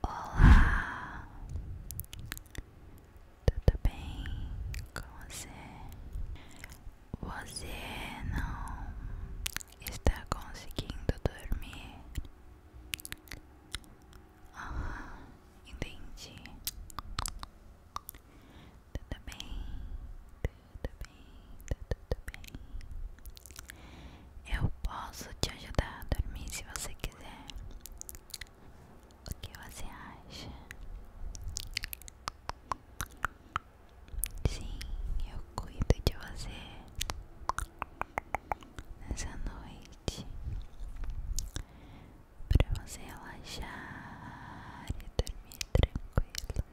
Olá, tudo bem com você? Você não está conseguindo dormir? entendi. Tudo bem? Tudo bem? Tudo bem? Eu posso te ajudar a dormir se você quiser. O que você acha? Sim, eu cuido de você nessa noite para você relaxar e dormir tranquilo,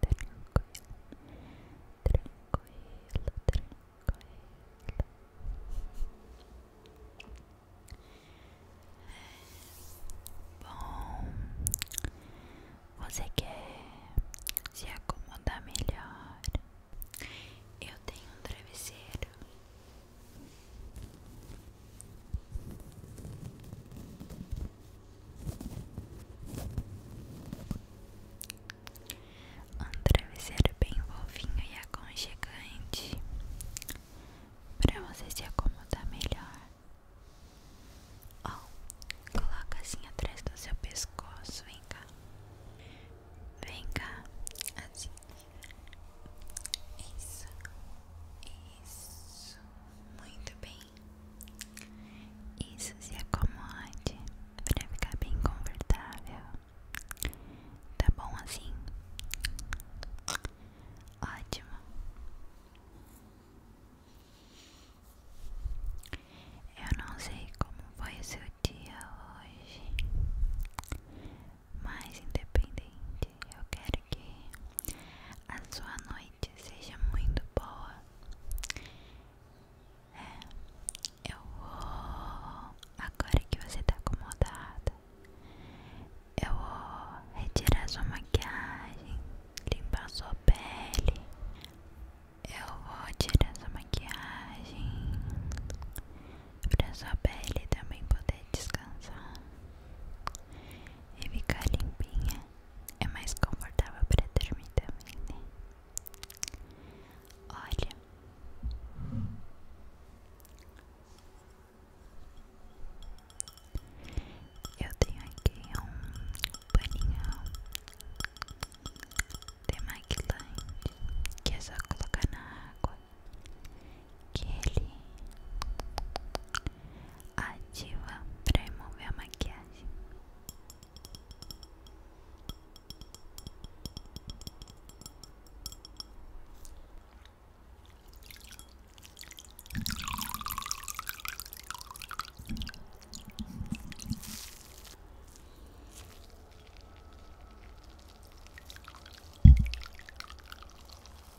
tranquilo, tranquilo, tranquilo. É bom, você quer se acomodar melhor? Eu tenho um travesseiro um travesseiro bem fofinho e aconchegante para você se acomodar melhor. Oh, coloca assim atrás do seu pescoço, vem cá. Vem cá, assim. Isso, isso, muito bem. Isso se acomode para ficar bem confortável. Tá bom assim? Ótimo. Eu não sei como foi o seu dia hoje, mais independente. Eu quero que a sua noite seja muito boa. É, eu vou. Agora que você tá acomodada, eu vou retirar sua maquiagem, limpar sua pele. Eu vou tirar sua maquiagem para sua pele também poder descansar e ficar limpinha. É mais confortável para dormir também, né? Olha. Eu tenho aqui um paninho demaquilante que é só colocar na água que ele ativa para remover a maquiagem.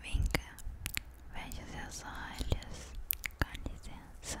Vem cá, veja seus olhos, com licença.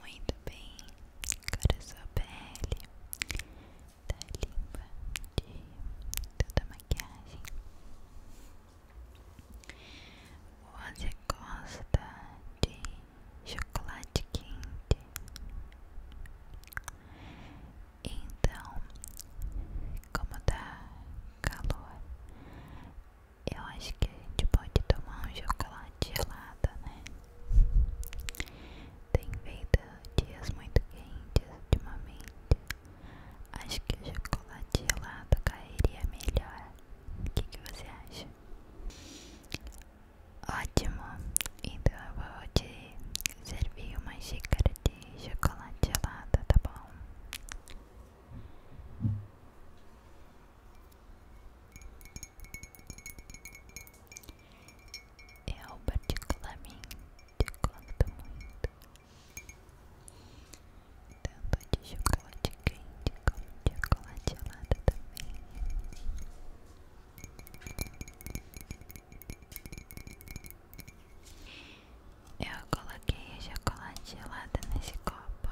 Muito bem, agora é sua pele tá limpa de toda a maquiagem. Você gosta de chocolate quente? Então, como tá calor, eu acho que a gente pode tomar um chocolate gelado, né? Tem feito dias muito quentes ultimamente. Acho que o chocolate gelado cairia melhor. O que, você acha? Ótimo! Então eu vou te servir uma xícara de de chocolate gelada, tá bom? É eu particularmente gosto muito tanto de chocolate quente como de chocolate gelada também. Eu coloquei a chocolate gelada nesse copo.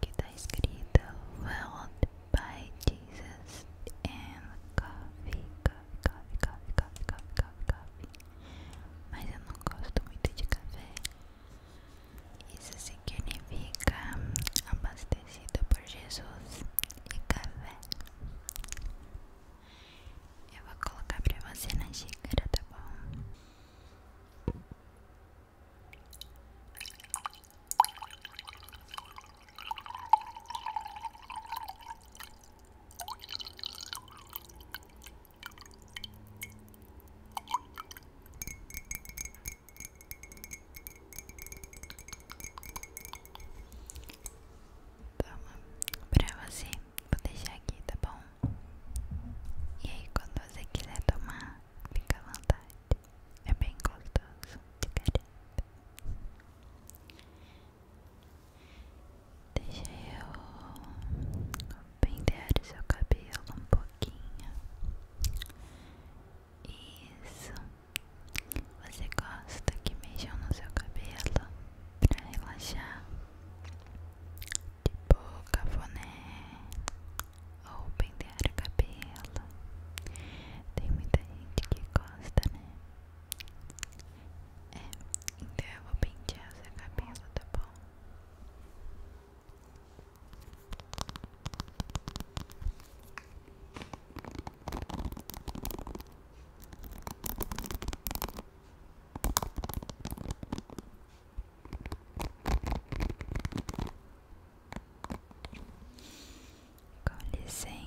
Que tá escrito World by Jesus and Coffee, Coffee, Coffee, Coffee, Coffee, Coffee, Coffee, Mas eu não gosto muito de café, isso é significa abastecido por Jesus e café. Eu vou colocar pra você na xícara, tá bom? Toma, pra você, vou deixar aqui, tá bom? E aí, quando você quiser tomar, fica à vontade. É bem gostoso, de caramba. Deixa eu pentear o seu cabelo um pouquinho. Isso. Você gosta que mexam no seu cabelo para relaxar? Tipo cafoné ou pentear o cabelo. Tem muita gente que gosta, né? É, então eu vou pentear o seu cabelo, tá bom? Com licença.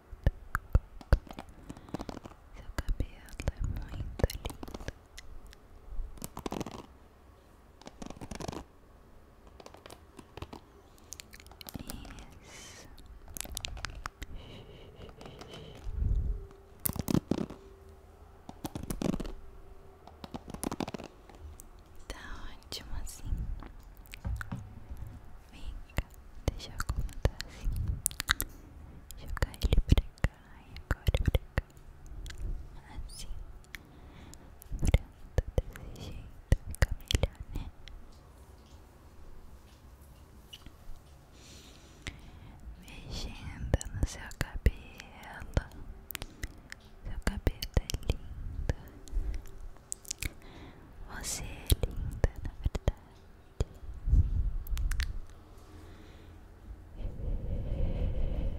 Seu cabelo é muito lindo. Isso. Tá ótimo assim. Vem deixa eu acomodar assim, jogar ele pra cá e agora pra cá, assim, pronto, desse jeito fica melhor, né? Mexendo no seu cabelo, seu cabelo é lindo. Você é linda, na verdade. Cabelo, cabelo, cabelo.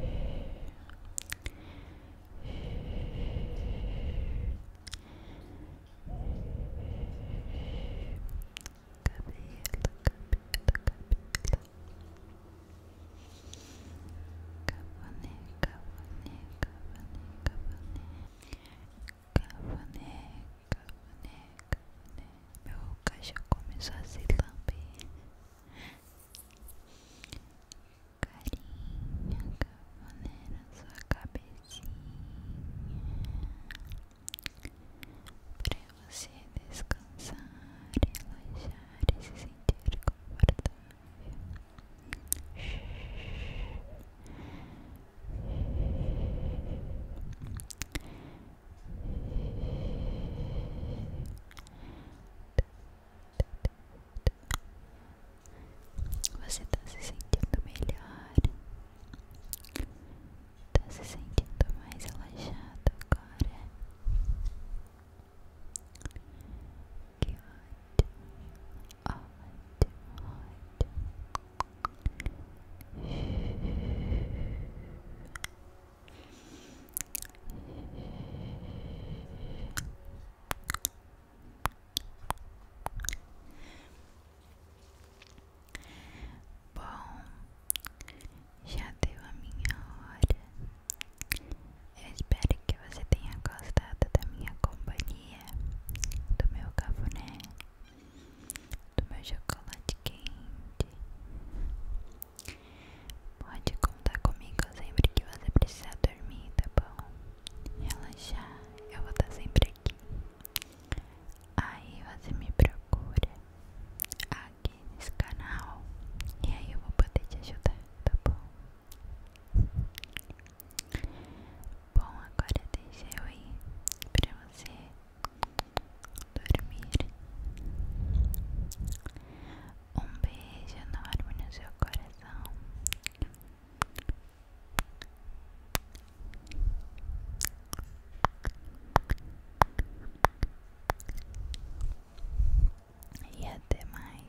Cavané, cavané, cavané, cavané. Cavané, cavané, cavané. Meu cachorro começou a se lamber. Carinha, cavané na sua cabecinha. Pra você descansar, relaxar e se sentir confortável. Você está se sentindo melhor? Está se sentindo mais relaxado agora? Que ótimo. Bom, já deu a minha hora. espero que você tenha gostado da minha companhia do meu cafuné, do meu chocolate quente. Pode contar comigo sempre que você precisar dormir, tá bom? Relaxar, eu vou estar sempre aqui. Aí você me procura aqui nesse canal e aí eu vou poder te ajudar, tá bom? Bom, agora deixa eu ir pra você dormir. Um beijo enorme no seu coração. E até mais.